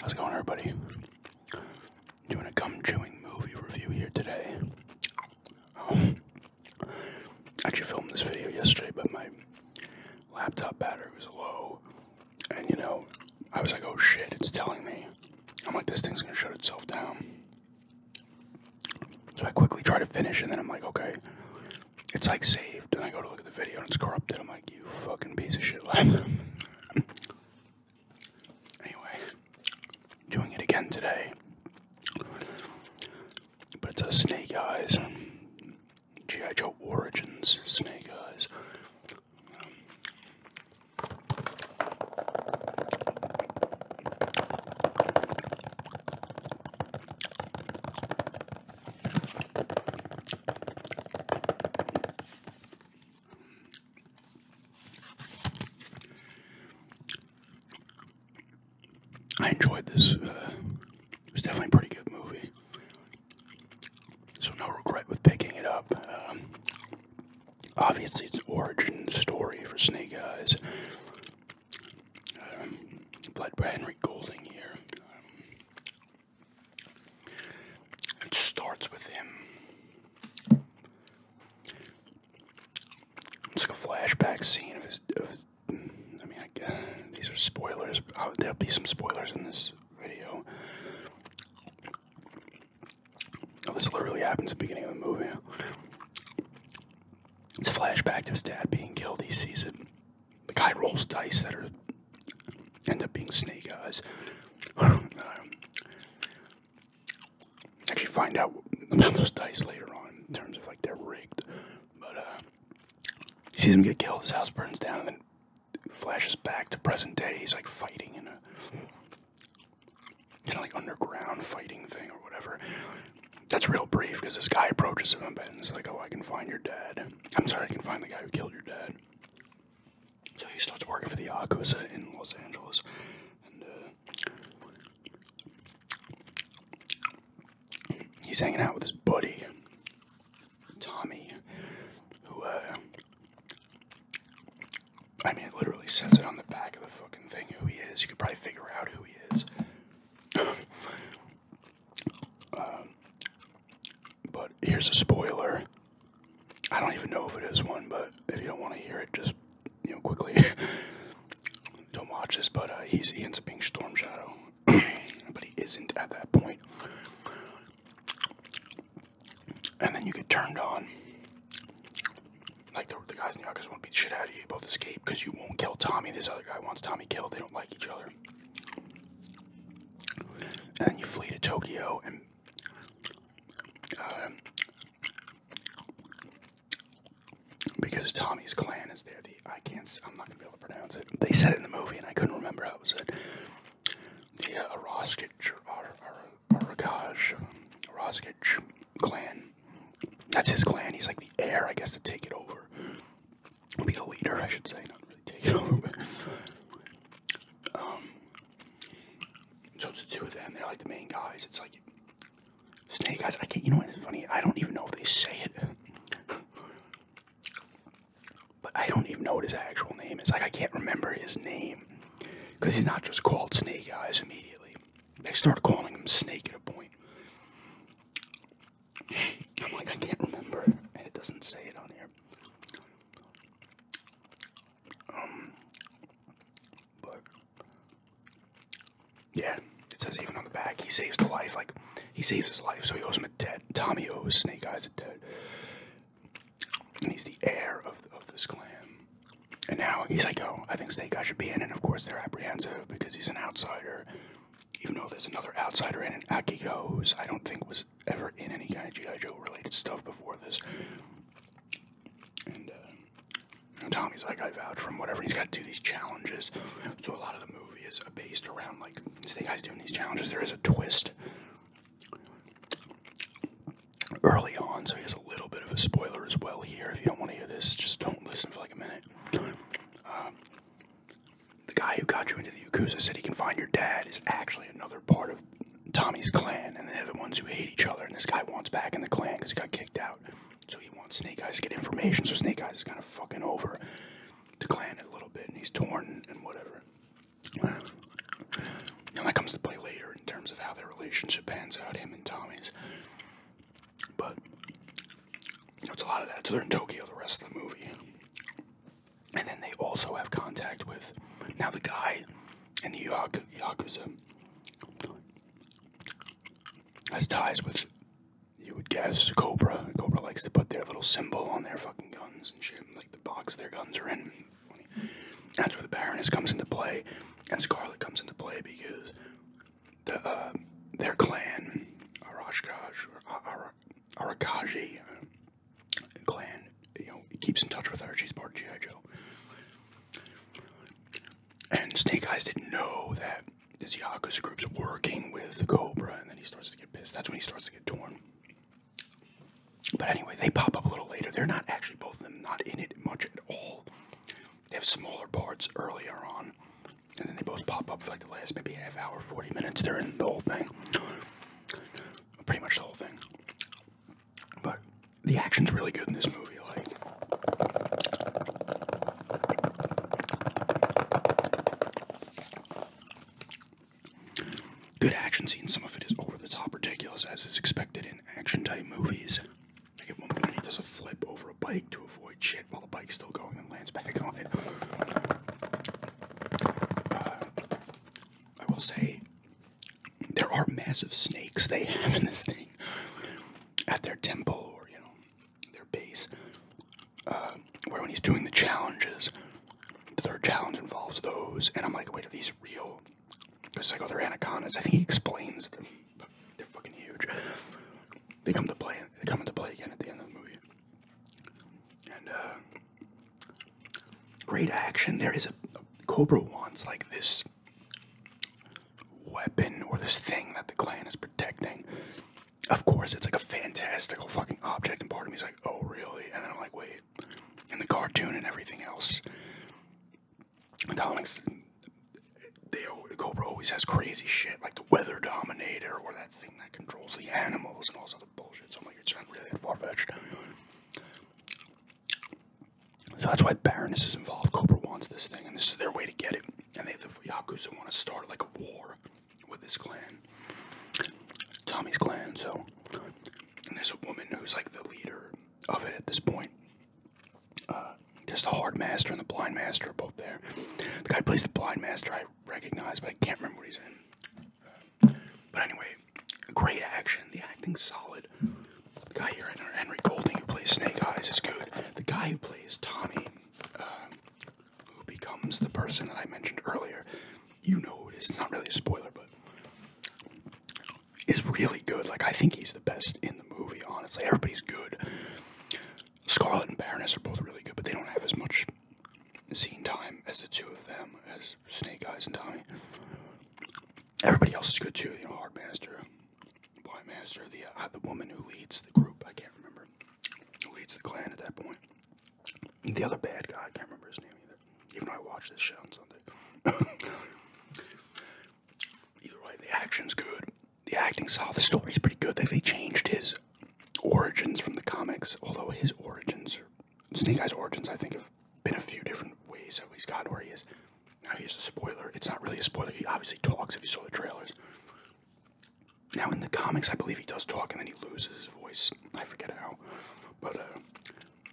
How's it going, everybody? Doing a gum chewing movie review here today. Oh. I actually filmed this video yesterday, but my laptop battery was low, and you know, I was like, oh shit, it's telling me I'm like, this thing's gonna shut itself down. So I quickly try to finish, and then I'm like, okay, it's like saved. And I go to look at the video, and it's corrupted. I'm like, you fucking piece of shit. anyway, doing it again today. But it's a Snake Eyes, G.I. Joe Origins Snake Eyes. I enjoyed this. Uh, it was definitely a pretty good movie. So, no regret with picking it up. Um, obviously its origin story for Snake Eyes. Um, by Henry Golding here. Um, it starts with him. It's like a flashback scene of his. I mean, these are spoilers. Oh, there'll be some spoilers in this video this literally happens at the beginning of the movie. It's a flashback to his dad being killed. He sees it. The guy rolls dice that are end up being snake eyes. actually, find out about those dice later on in terms of like they're rigged. But uh, he sees him get killed. His house burns down, and then flashes back to present day. He's like fighting in a kind of like underground fighting thing or whatever. That's real brief because this guy approaches him and it's like, oh, I can find your dad. I'm sorry, I can find the guy who killed your dad. So he starts working for the Yakuza in Los Angeles. And uh, he's hanging out with his buddy, Tommy, who uh, I mean, it literally says it on the back of the fucking thing who he is. You could probably figure out who he is. Um, but here's a spoiler. I don't even know if it is one, but if you don't want to hear it, just you know quickly don't watch this. But uh, he ends up being Storm Shadow, but he isn't at that point and then you get turned on. Like the, the guys in the Arcus want to beat the shit out of you, both escape because you won't kill Tommy. This other guy wants Tommy killed. They don't like each other. And then you flee to Tokyo and. Uh, because Tommy's clan is there, the I can't. I'm not gonna be able to pronounce it. They said it in the movie, and I couldn't remember how it was said. The uh, Orozco, Barragage, Rosgage clan. That's his clan. He's like the heir, I guess, to take it over. Be the leader, I should say. Not really take it over, but. Um, so it's the two of them. They're like the main guys. It's like Snake Guys, I can't. You know what's funny? I don't even know if they say it, but I don't even know what his actual name is. Like I can't remember his name. Because he's not just called Snake Eyes immediately. They start calling him Snake at a point. I'm like, I can't remember. it doesn't say it on here. Um, but, yeah, it says even on the back, he saves the life. Like, he saves his life, so he owes him a debt. Tommy owes Snake Eyes a debt and he's the heir of, of this clan. And now he's like, oh, I think Snake Eye should be in, and of course they're apprehensive because he's an outsider. Even though there's another outsider in it, Akiko, who's I don't think was ever in any kind of G.I. Joe related stuff before this. And, and uh, Tommy's like, I vouch from whatever. He's got to do these challenges. So a lot of the movie is based around, like, Snake Eye's doing these challenges. There is a twist early on, so he has a little bit of a spoiler as well here. If you don't want to hear this, just don't listen for like a minute. Um, the guy who got you into the Yakuza said he can find your dad is actually another part of Tommy's clan, and they're the ones who hate each other. And this guy wants back in the clan because he got kicked out. So he wants Snake Eyes to get information, so Snake Eyes is kind of fucking over the clan a little bit, and he's torn and whatever. And that comes to play later in terms of how their relationship pans out, him and Tommy's. But it's a lot of that. So they're in Tokyo the rest of the movie. And then they also have contact with now the guy in the Yakuza has ties with you would guess Cobra. Cobra likes to put their little symbol on their fucking guns and shit, like the box their guns are in. That's where the Baroness comes into play, and Scarlet comes into play because the uh, their clan, Arashkaj or uh, clan, you know, keeps in touch with her. She's part GI Joe. And Snake Eyes didn't know that this Yakuza group's working with Cobra, and then he starts to get pissed. That's when he starts to get torn. But anyway, they pop up a little later. They're not actually both of them not in it much at all. They have smaller parts earlier on, and then they both pop up for like the last maybe half hour, 40 minutes. They're in the whole thing, pretty much the whole thing. But the action's really good in this movie. Like, Good action scene. Some of it is over the top ridiculous, as is expected in action type movies. Like at one point, he does a flip over a bike to avoid shit while the bike's still going and lands back on it. Uh, I will say, there are massive snakes they have in this thing at their temple or, you know, their base. Uh, where when he's doing the challenges, the third challenge involves those, and I'm like, wait, are these real? Because like, oh, anacondas. I think he explains them. They're fucking huge. They come to play. They come into play again at the end of the movie. And uh, great action. There is a, Cobra wants like this weapon or this thing that the clan is protecting. Of course, it's like a fantastical fucking object, and part of me is like, oh, really? And then I'm like, wait, and the cartoon and everything else. The comics, they Cobra always has crazy shit like the Weather Dominator or that thing that controls the animals and all this other bullshit. So I'm like, it's not really that far fetched. So that's why Baroness is involved. Cobra wants this thing, and this is their way to get it. And they, the Yakuza, want to start like a war with this clan, Tommy's clan. So and there's a woman who's like the leader of it at this point. Uh, there's the hard master and the blind master both there. The guy plays the blind master I recognize, but I can't remember what he's in. Uh, but anyway, great action. The acting's solid. The guy here, Henry Golding, who plays Snake Eyes, is good. The guy who plays Tommy, uh, who becomes the person that I mentioned earlier, you know who it is. not really a spoiler, but is really good. Like I think he's the best in the movie. Honestly, everybody's good. Scarlet and Baroness are both really good, but they don't have as much scene time as the two of them, as Snake Eyes and Tommy. Everybody else is good too. You know, Hard Master, Blind Master, the uh, the woman who leads the group. I can't remember who leads the clan at that point. The other bad guy, I can't remember his name either, even though I watched this show on Sunday. either way, the action's good. The acting solid. The story's pretty good. They, changed his origins from the comics, although his origins, Snake Eye's origins, I think, have been a few different ways that he's gotten where he is. Now, here's a spoiler. It's not really a spoiler. He obviously talks if you saw the trailers. Now, in the comics, I believe he does talk and then he loses his voice I forget how, but uh,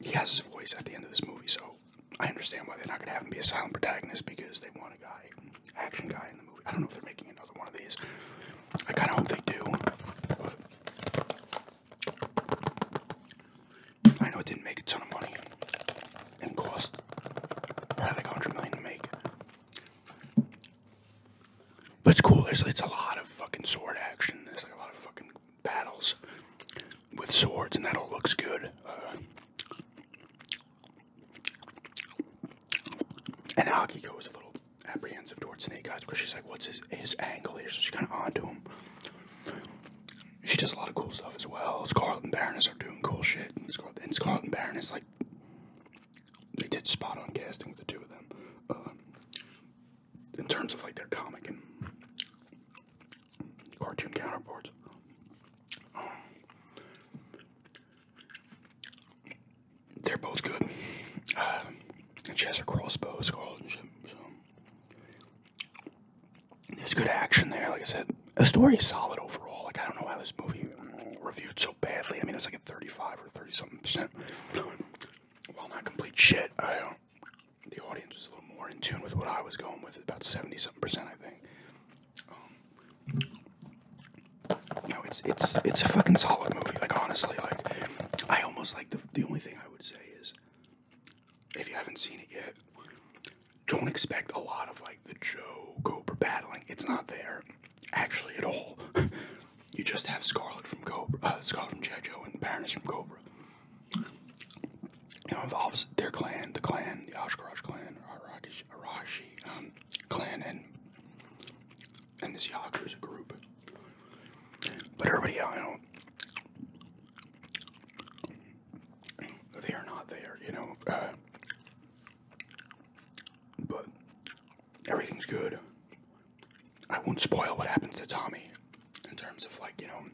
he has his voice at the end of this movie, so I understand why they're not gonna have him be a silent protagonist because they want a guy, action guy in the movie. I don't know if they're making another one of these. I kind of hope they do. I know it didn't make a ton of money and cost probably like 100 million to make. But it's cool. There's it's a lot of fucking sword action. There's like a lot of fucking battles with swords, and that all looks good. Uh, and Akiko is a little apprehensive towards Snake Eyes because she's like, "What's his his angle here?" So she's kind of onto him. She does a lot of cool stuff as well. Scarlet and Baroness are doing cool shit. Scarlet and, Baroness like they did spot on casting with the two of them. Uh, in terms of like their comic and cartoon counterparts. Um, they're both good. Uh, and she has her crossbows called and shit. So. There's good action there. Like I said, the story is solid overall. Like I don't know why this movie reviewed so badly. I mean, it's like a 35 or 30 something percent. Well, not complete shit, I the audience was a little more in tune with what I was going with, about seventy something percent, I think. Um, it's it's it's a fucking solid movie. Like honestly, like I almost like the the only thing I would say is if you haven't seen it yet, don't expect a lot of like the Joe Cobra battling. It's not there actually at all. you just have Scarlet from Cobra, uh, Scarlet from G.I. and Baroness from Cobra. You know, involves their clan, the clan, the Oshkosh clan, Arashi, Arashi um, clan, and and this Yakuza group. But everybody, you know, they are not there, you know. Uh, but everything's good. I won't spoil what happens to Tommy in terms of like, you know,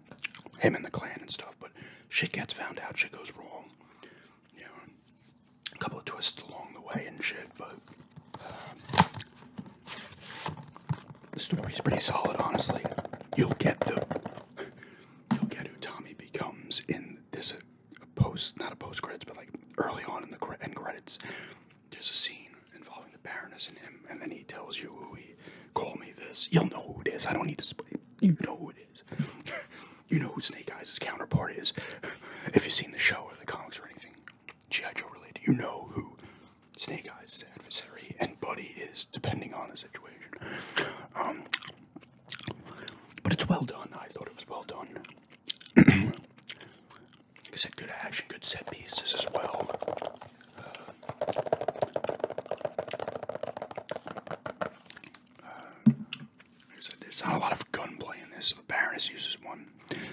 him and the clan and stuff, but shit gets found out, shit goes wrong. You know, a couple of twists along the way and shit, but uh, the story's pretty solid, honestly. You'll get the you'll get who Tommy becomes in this post, not a post credits, but like early on in the end credits there's a scene involving the Baroness and him, and then he tells you who he call me this. You'll know who it is. I don't need to explain. You know who it is. you know who Snake Eyes' counterpart is. if you've seen the show or the comics or anything, G.I. Joe related, you know who Snake Eyes' adversary and buddy is, depending on the situation. Um, but it's well done. I thought it was well done like I said, good action, good set pieces as well. Uh, there's not a lot of gunplay in this. The Baroness uses one.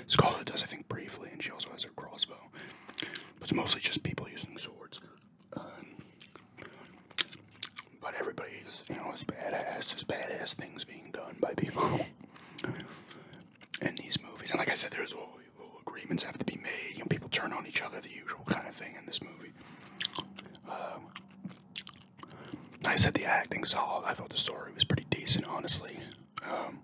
Scholar does, I think, briefly, and she also has her crossbow. But it's mostly just people using swords. Um, but everybody is, you know, is badass. There's badass things being done by people. in these movies. And like I said, there's little, little agreements have to be made. You people turn on each other, the usual kind of thing in this movie. Um, I said the acting solid. I thought the story was pretty decent, honestly. Um,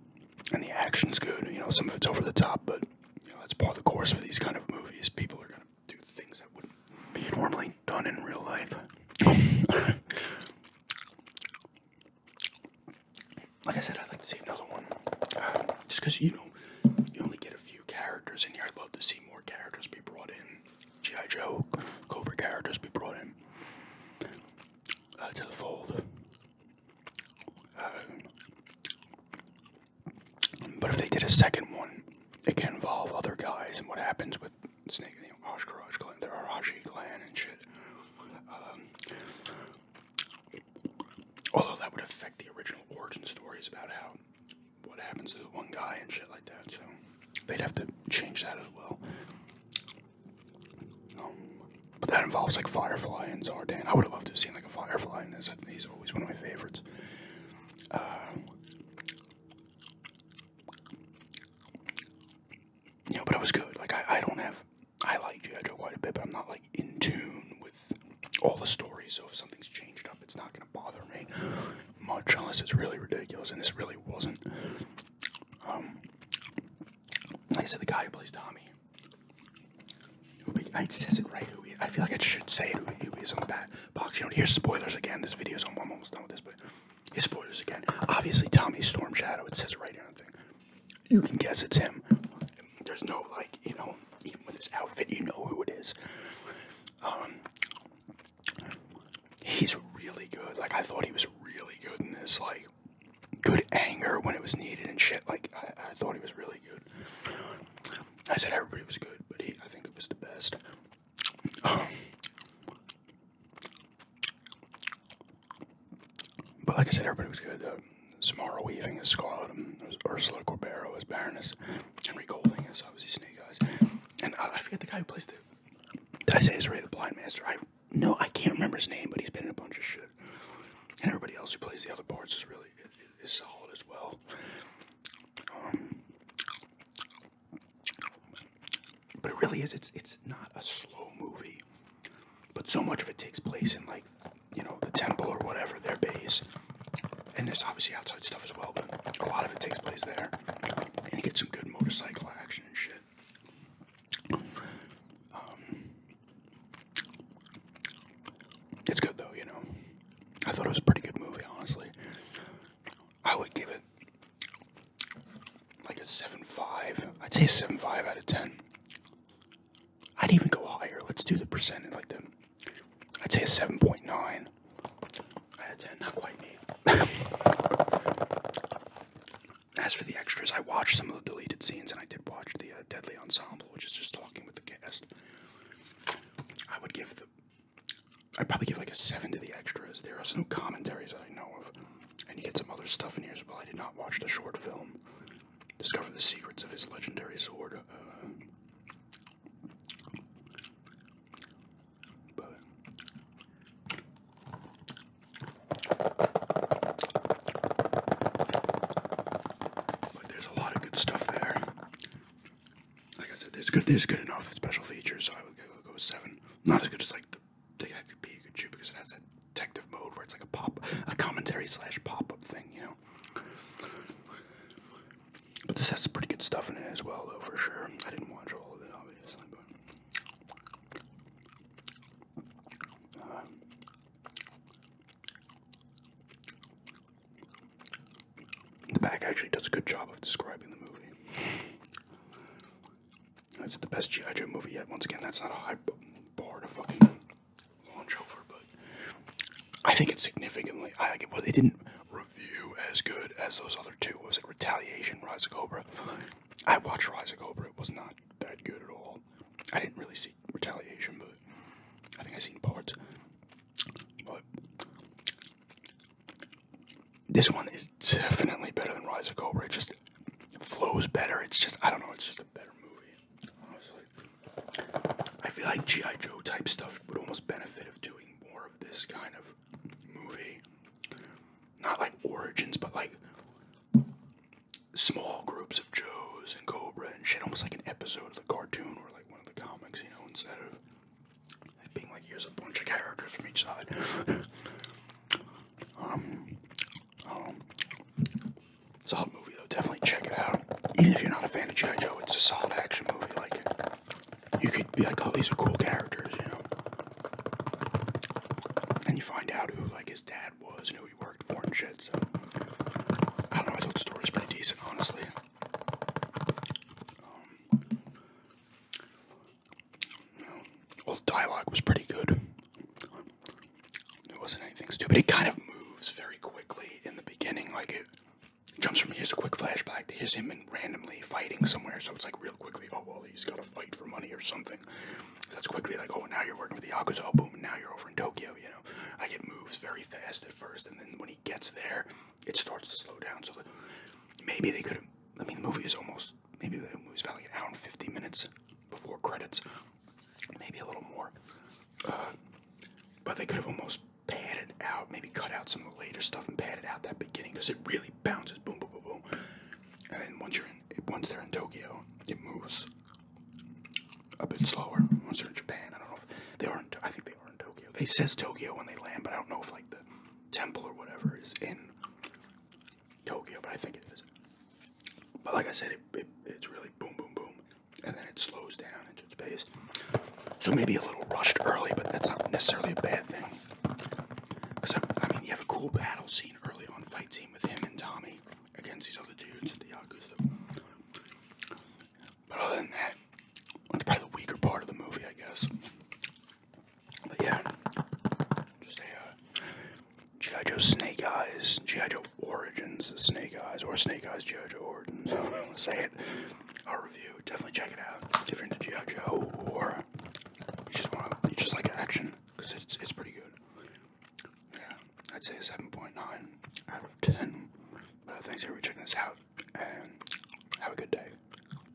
and the action's good. You know, some of it's over the top, but you know, that's part of the course for these kind of movies. People are gonna do things that wouldn't be normally done in real life. like I said, I'd like to see another one. Um, just because, you know, you only get a few characters in here. I'd love to see more characters be brought in. G.I. Joe, Cobra characters be brought in uh, to the fold. Uh, but if they did a second one, it can involve other guys and what happens with Snake name, Oshkosh clan. They're Arashi clan and shit. Um, although that would affect the original origin stories about how what happens to the one guy and shit like that. So they'd have to change that as well. Um, but that involves like Firefly and Zardan. I would have loved to have seen like a Firefly in this. he's always one of my favorites. Uh, yeah, but it was good. Like I, I don't have I like G.I. Joe quite a bit, but I'm not like in tune with all the stories, so if something's changed up, it's not gonna bother me much unless it's really ridiculous, and this really wasn't. Um, I said, the guy who plays Tommy, who I says it right. I feel like I should say it, who is on the bat box. You don't hear spoilers again. This video's on. I'm almost done with this, but he spoilers again. Obviously, Tommy Storm Shadow. It says right here on the thing. You can guess it's him. There's no like, you know, even with his outfit, you know who it is. Um, he's really good. Like I thought he was really good in this. Like good anger when it was needed and shit. Like I, thought he was really good. I said everybody was good, but he, I think it was the best. Um, but like I said, everybody was good. Samara Weaving as Scarlet, Ursula Corbero as Baroness, Henry Golding as obviously Snake Eyes, and I forget the guy who plays the. Did I say is the Blind Master? I no, I can't remember his name, but he's been in a bunch of shit. And everybody else who plays the other parts is really is, solid as well. Um, but it really is. It's it's not a slow movie, but so much of it takes place in like you know the temple or whatever their base, and there's obviously outside stuff as well. But a lot of it takes place there, and you get some good motorcycle action and shit. Um, it's good though, you know. I thought it was a pretty good movie, honestly. I would give it like a seven I'd say a seven five out of 10. I'd even go higher. Let's do the percent. Like the, I'd say a 7.9 out of 10. Not quite me. As for the extras, I watched some of the deleted scenes, and I did watch the uh, Deadly Ensemble, which is just talking with the cast. I would give the. I'd probably give like a seven to the extras. There are no commentaries that I know of. And you get some other stuff in here as well. I did not watch the short film. Discover the secrets of his legendary sword. Uh, but there's a lot of good stuff there. Like I said, there's good, there's good enough special features. So I would go seven. Not as good as like they have to be a good shoe because it has that detective mode where it's like a pop, a commentary slash pop up thing, you know. But this has some pretty good stuff in it as well, though, for sure. I didn't watch all of it, obviously, uh, the back actually does a good job of describing the movie. Is it the best G.I. Joe movie yet. Once again, that's not a high bar to fucking launch over, but I think it's significantly. I like it. Well, they didn't review as good as those other two. was it Retaliation, Rise of Cobra? I watched Rise of Cobra. It was not that good at all. I didn't really see Retaliation, but I think I seen parts. This one is definitely better than Rise of Cobra. It just flows better. It's just I don't know. It's just a better movie. I feel like GI Joe type stuff would almost benefit of doing more of this kind of movie. Not like origins, but like small groups of Joes and Cobra and shit. Almost like an episode of the cartoon or like one of the comics, you know, instead of being like here's a bunch of characters from each side. um, um, solid movie though. Definitely check it out. Even if you're not a fan of G.I. Joe, it's a solid action movie. Like you could be like, oh, these are cool characters, you know. And you find out who like his dad was and who he worked for and shit. So I don't know. I thought the story was pretty decent, honestly. Um, well, the dialogue was pretty good. There wasn't anything stupid. It kind of moves very quickly in the beginning, like it jumps from here's a quick flashback to here's him and randomly fighting somewhere. So it's like real quickly. Oh well, he's got to fight for money or something. that's quickly like oh now you're working for the yakuza. Oh and now you're over in Tokyo. You know, I get moves very fast at first, and then when he gets there, it starts to slow down. So maybe they could have. I mean, the movie is almost maybe it was about like an hour and 50 minutes before credits, maybe a little more. Uh, but they could have almost padded out, maybe cut out some of the later stuff and padded out that beginning because it really bounces, boom, boom, boom, boom. And then once you're in, once they're in Tokyo, it moves a bit slower. Once they're in Japan, I don't know if they are. In, I think they are in Tokyo. They says Tokyo when they land, but I don't know if like the temple or whatever is in Tokyo, but I think it is. But like I said, it, it's really boom, boom, boom, and then it slows down into its pace. So maybe a little rushed early, but that's not necessarily a bad thing. Because, I, mean, you have a cool battle scene early on, fight scene with him and Tommy against these other dudes at the Yakuza. But other than that, that's probably the weaker part of the movie, I guess. But yeah, just a uh, Joe Snake Eyes, G.I. Joe Origins Snake Eyes, or Snake Eyes G.I. Joe Origins. I don't say it. Our review, definitely check it out. If you're into G.I. Joe, or you just want to, you just like action, because it's, it's pretty good. Yeah, I'd say 7.9 out of 10. But uh, thanks everybody checking this out, and have a good day.